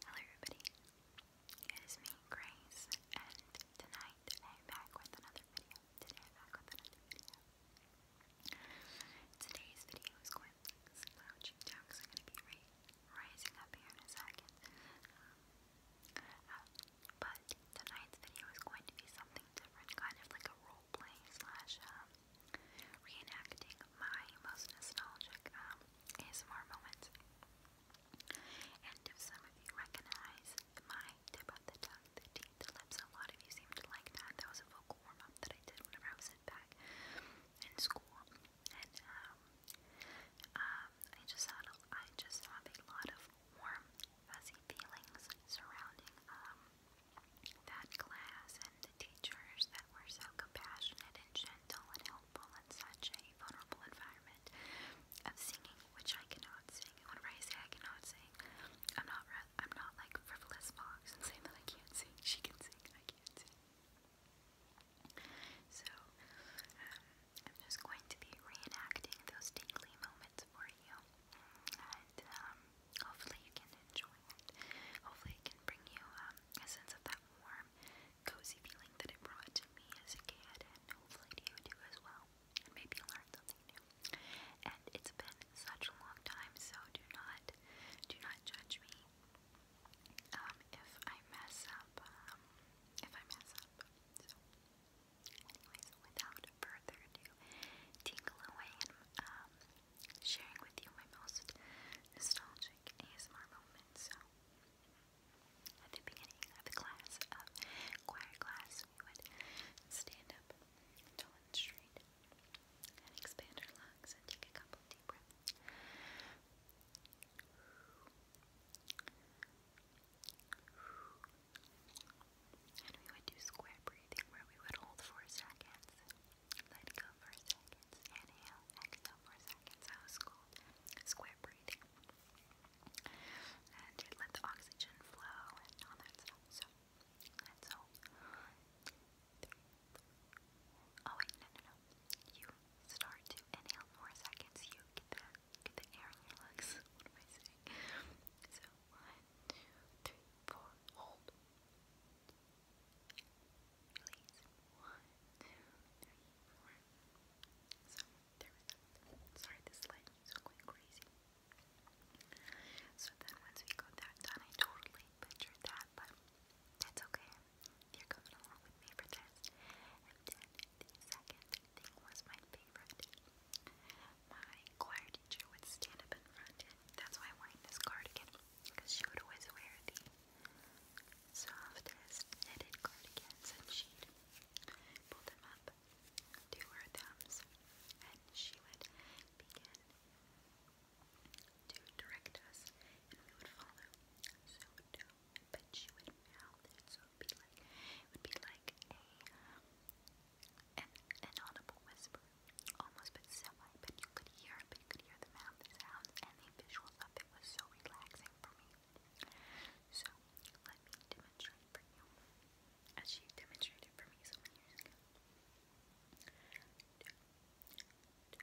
Hello everybody, it is me Grace and tonight I'm back with another video. Today's video is going to be some loud jukes. I'm going to be rising up here in a second. Um, but tonight's video is going to be something different, kind of like a role slash um, reenacting my most nostalgic um, ASMR moments. And if some of you recognize my tip of the tongue, the teeth, the lips, a lot of you seem to like that. That was a vocal warm that I did whenever I was in back in school. And um, um, I just had a, I just have a lot of warm, fuzzy feelings surrounding um that class the teachers that were so compassionate and gentle and helpful in such a vulnerable environment of singing, which I cannot sing. whenever I say I cannot sing, I'm not I'm not like frivolous fox and that I can't sing. She can sing, I can't sing. So um, I'm just going to be reenacting those tingly moments for you, and um, hopefully you can enjoy it. Hopefully it can bring you um, a sense of that warm, cozy feeling that it brought to me as a kid, and hopefully you too as well. And maybe learn something new. And it's been such a long time, so do not, do not judge me um, if I mess up. Um, if I mess up. So, anyways, without further ado, tingle away and um, sharing with you my most nostalgic ASMR moments. So, at the beginning of the class, of uh, choir class, we would stand up tall and straight and expand our lungs and take a couple deep breaths. And we would do square breathing where we would hold for seconds let go for seconds. Inhale, exhale for seconds. That Square breathing. And it let the oxygen flow and all that stuff. So let's hold. Oh wait, no, no, no. You start to inhale more seconds. You get that, get the air in your lungs. one, two, three, four. Hold release. One, two, three, four. So there was that. Sorry, this slide is crazy. So then once we got that done, I totally butchered that, but that's okay. They're coming along with me for this. And then the second thing was my favorite. My choir teacher would stand up in front, that's why I wanted this cardigan, because she would always wear the softest knitted cardigans and she'd them up to her thumbs and she would begin to direct us and we would follow. So But she would mouth it so it would be like it would be like a an audible whisper almost but semi, but you could hear you could hear the mouth sounds and the visuals of it was so relaxing for me. So let me demonstrate for you, as she demonstrated for me so many years ago. so,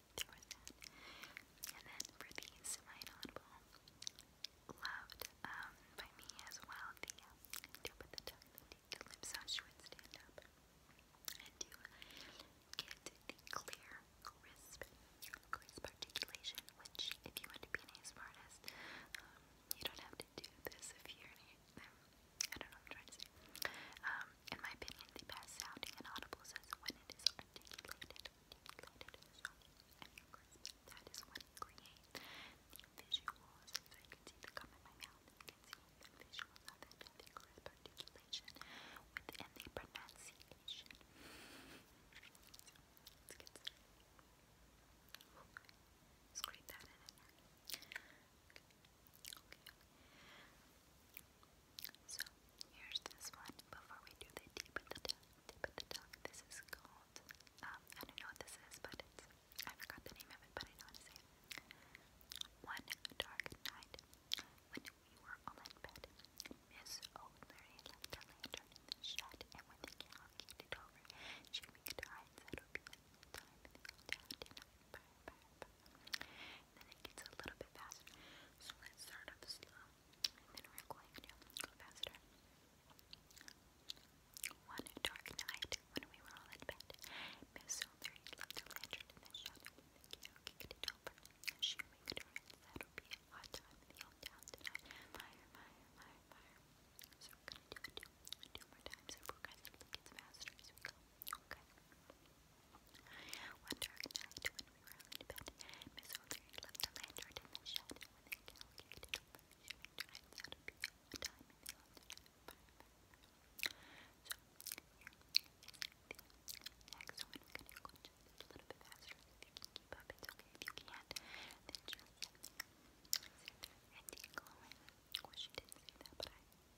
And then for these, my notable loved um, by me as well the uh, tip of the tongue, the, the lip sauce stand up. And to get the clear, crisp, crisp articulation, which if you want to be an ASMR um, you don't have to do this if you're an I don't know what I'm trying to say. Um, in my opinion, the best sounding and audible is when it is articulated, that is when you the visuals, so you can see the gum in my can see the visuals of it, the crisp articulation within the pronunciation. let's get that in there. So here's this one. Before we do the deep of the tongue, this is called. Um, I don't know what this is, but I forgot the name of it, but I know to say One dark night, when we were all in bed, Miss O'Leary left the lantern in and when the cow kicked it over, she winked her eye and said, "It'll be time." They all down dinner. And then it gets a little bit faster. So let's start off slow. And then we're going faster. One dark night, when we were all in bed, Miss O'Leary left a lantern in the shadow when the cow kicked it over. She winked her and said, will be a hot time in the old Fire, fire, fire, fire. So we're gonna do it two, more times if we're gonna get faster as we go. Okay. One dark night, when we were in bed, Miss O'Leary left the lantern and a time in the afternoon So, here is We're going to go just a little bit faster. If you keep up, it's okay. If you can't, then just sit there and take a Of didn't say that, but I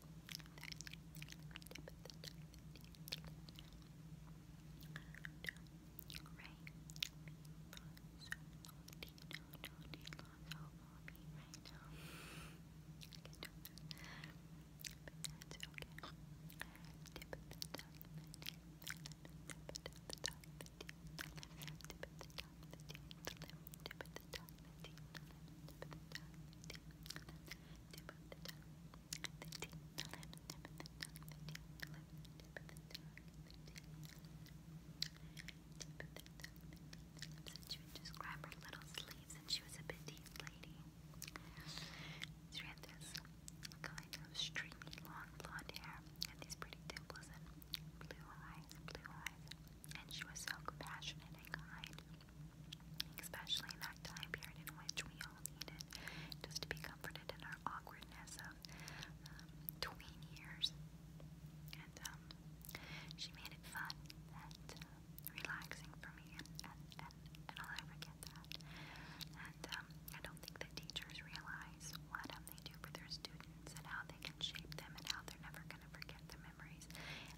tip she would just grab her little sleeves, and she was a petite lady. She had this kind of streamy, long blonde hair, and these pretty dimples, and blue eyes, blue eyes. And she was so compassionate and kind especially in that time period in which we all needed just to be comforted in our awkwardness of um, tween years. And um, she made it fun and uh, relaxing for me, and, and, and, and I'll never forget that. And um, I don't think the teachers realize what they do for their students and how they can shape them and how they're never gonna going forget the memories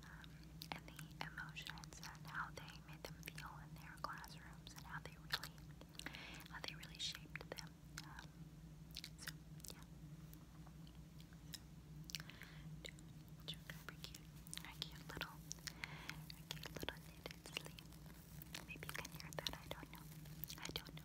um, and the emotions and how they made them feel in their classrooms and how they really, how they really shaped them. Um, so yeah. So, cute, cute little, cute little knitted Maybe you can hear that. I don't know. I don't know.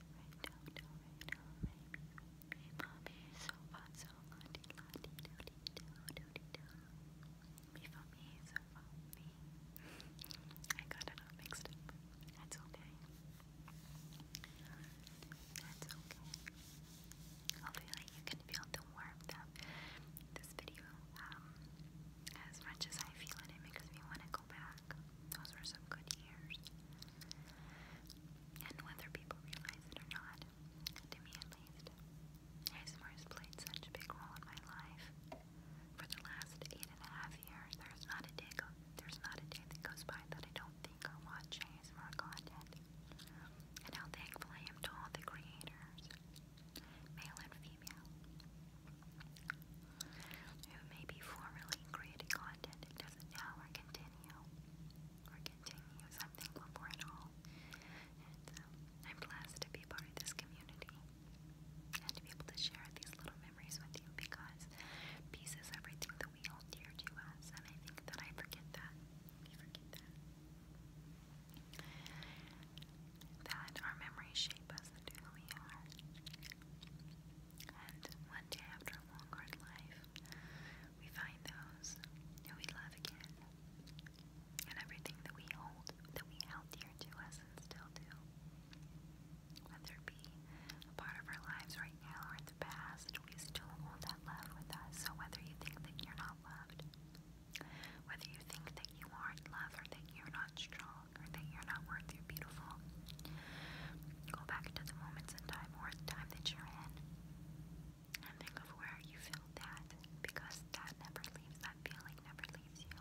I got it all mixed up. That's okay. That's okay. Hopefully you can feel the warmth of this video. Um, as much as I feel it, it makes me want to go back back. Those were some good years. And whether people realize it or not, to me at least, ASMR has played such a big role in my life. For the last eight and a half years, there's not a day go there's not a day that goes by that I don't think or watch ASMR content. And how thankful I am to all the creators, male and female who may be formerly created content doesn't now or continue or continue something before it all. And um, I'm blessed to be part of this community and to be able to share these little memories with you because peace is everything that we hold dear to us, and I think that I forget that. We forget that. That our memories shape us into who we are. And one day after a long, hard life, we find those who we love again. And everything that we hold, that we held dear to us and still do. Whether it be a part of our lives right now or in the past, we still hold that love with us. So whether you think that you're not loved, whether you think that you aren't loved or that you're not strong or that you're not worth you beautiful. Go back to the moments in time or the time that you're in and think of where you feel that because that never leaves, that feeling never leaves you.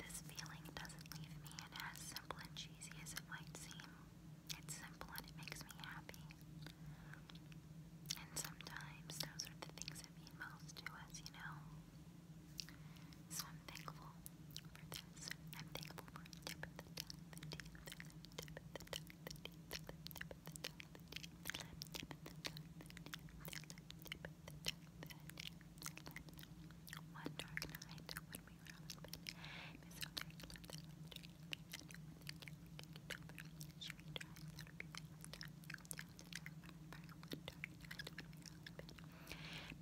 This feeling doesn't leave me, and as simple and cheesy as it might seem, it's simple and it makes me happy. And sometimes those are the things that mean most to us, you know? So I'm thankful for this. I'm thankful for the dark night when we were out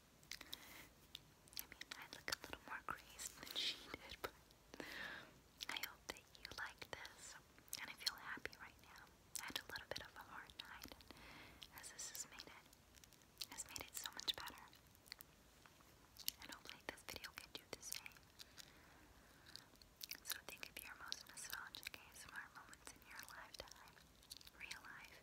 I mean, I look a little more crazed than she did, but I hope that you like this. And I feel happy right now. had a little bit of a hard night, as this has made it, has made it so much better. And hopefully this video can do the same. So think of your most nostalgic ASMR moments in your lifetime. Real life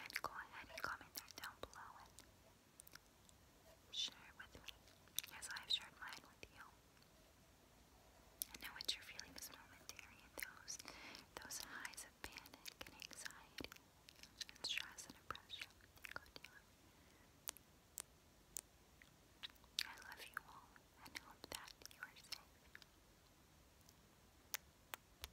and go ahead and comment that down below and share with me as I've shared mine with you. I know what you're momentary those those highs of panic and anxiety and stress and oppression go down. I love you all and hope that you are safe.